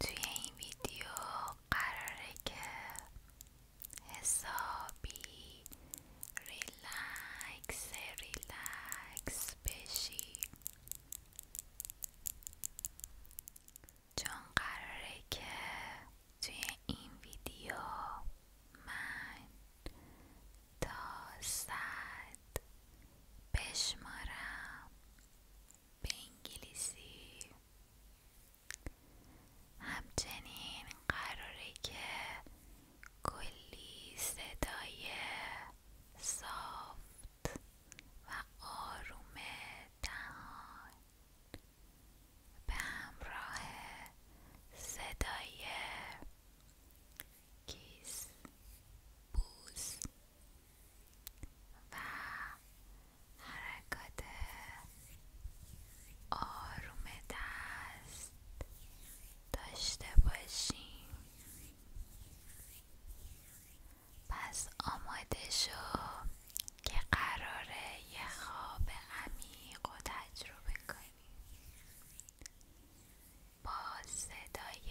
توی این ویدیو قراره که حسابی ریلکس ریلاکس بشی چون قراره که توی این ویدیو من تا صد بشمارم به انگلیسی همچنین قراره که کلی صدای صافت و آروم دهان به همراه صدای کیس بوس و حرکات آروم دست داشته باشیم پس آماده شو که قراره یه خواب عمیق و تجربه کنیم با صدای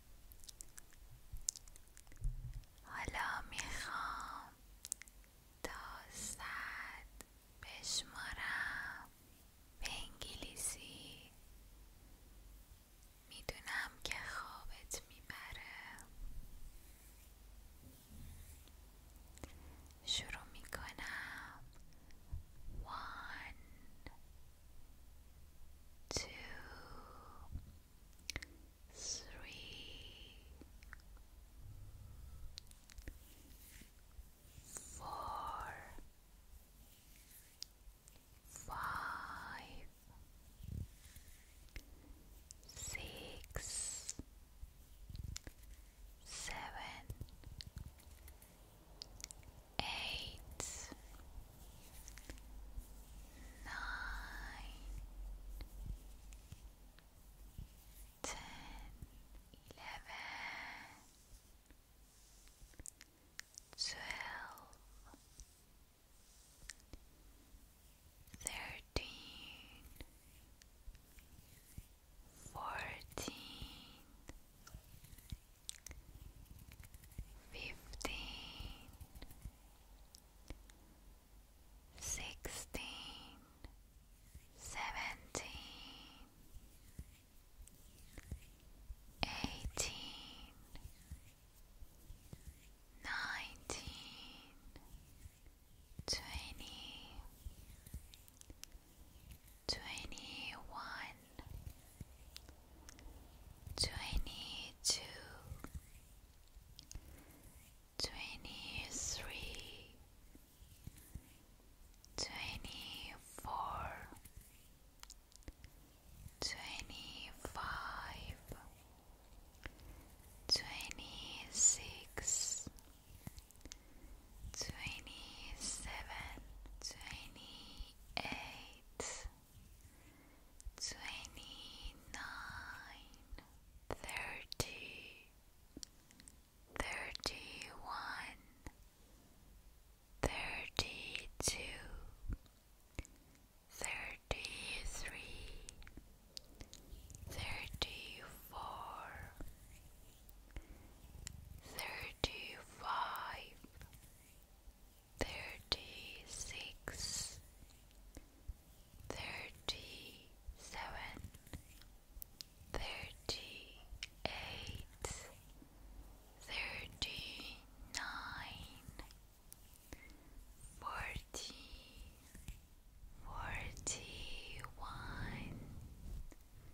حالا میخوام تا صد بشمارم به انگلیسی میدونم که خوابت میبره شروع میکنم وان two, three, four, five, six, seven eight, nine, ten, eleven, twelve, thirteen, fourteen fifteen, sixteen, seventeen, eighteen, nineteen, twenty, twenty one. Twenty two, twenty three, twenty four, twenty five, twenty six, twenty seven, twenty eight twenty nine, thirty, thirty one, thirty two, thirty three, thirty four, thirty five thirty six, thirty seven, thirty eight, thirty nine, forty, forty one.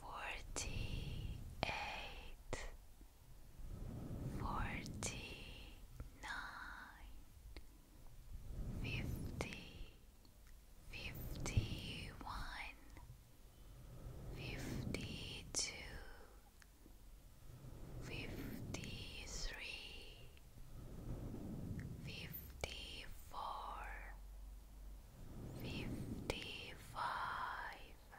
forty eight, forty nine, fifty, fifty one, fifty two, fifty three. Fifty four, fifty five,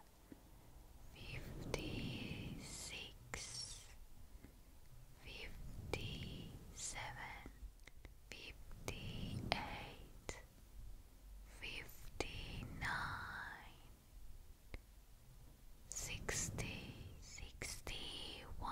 fifty six, fifty seven, fifty eight, fifty nine, sixty, sixty one.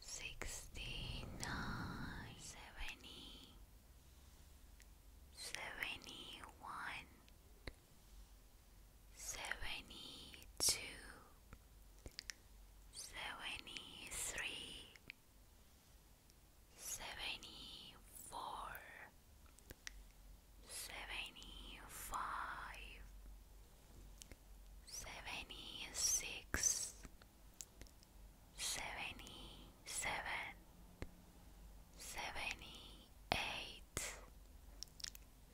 sixty nine, seventy, seventy one, seventy two, seventy three, seventy four, seventy five. 76 seventy six, seventy seven, seventy eight,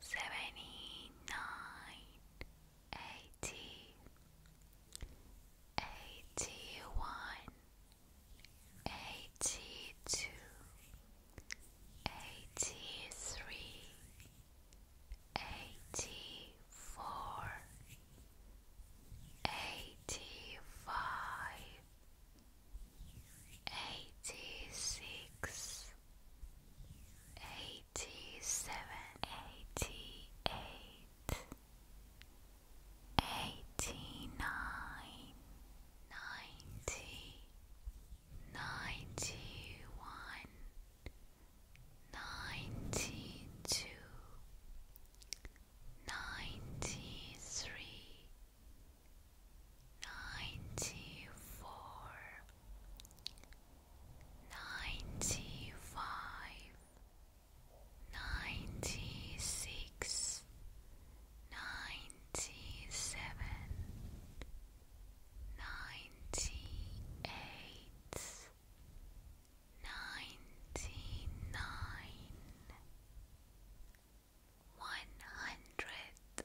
seventy nine, eighty, eighty one, eighty two, eighty three eighty four, eighty five, eighty six, eighty seven, eighty eight, eighty nine, ninety ninety one, ninety two, ninety three, ninety four, ninety five, ninety six, ninety seven ninety-eight, ninety-nine, one hundred.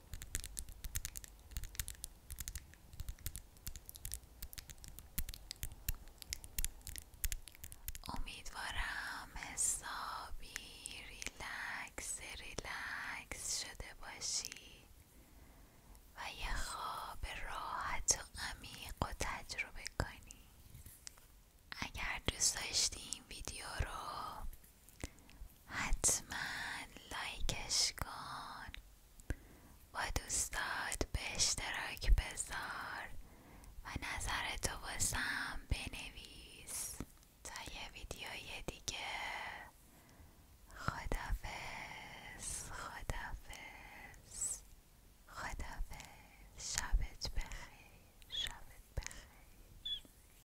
امیدوارم حسابی ریلکس ریلکس شده باشی و یه خواب راحت و عمیق و تجربه کنی اگر دوست داشتی این ویدیو رو حتما لایکش کن و دوستات به اشتراک بذار و نظر تو واسم بنویس تا یه ویدیوی دیگه خدافس خدافس خدافس شبت بخیر شبت بخیر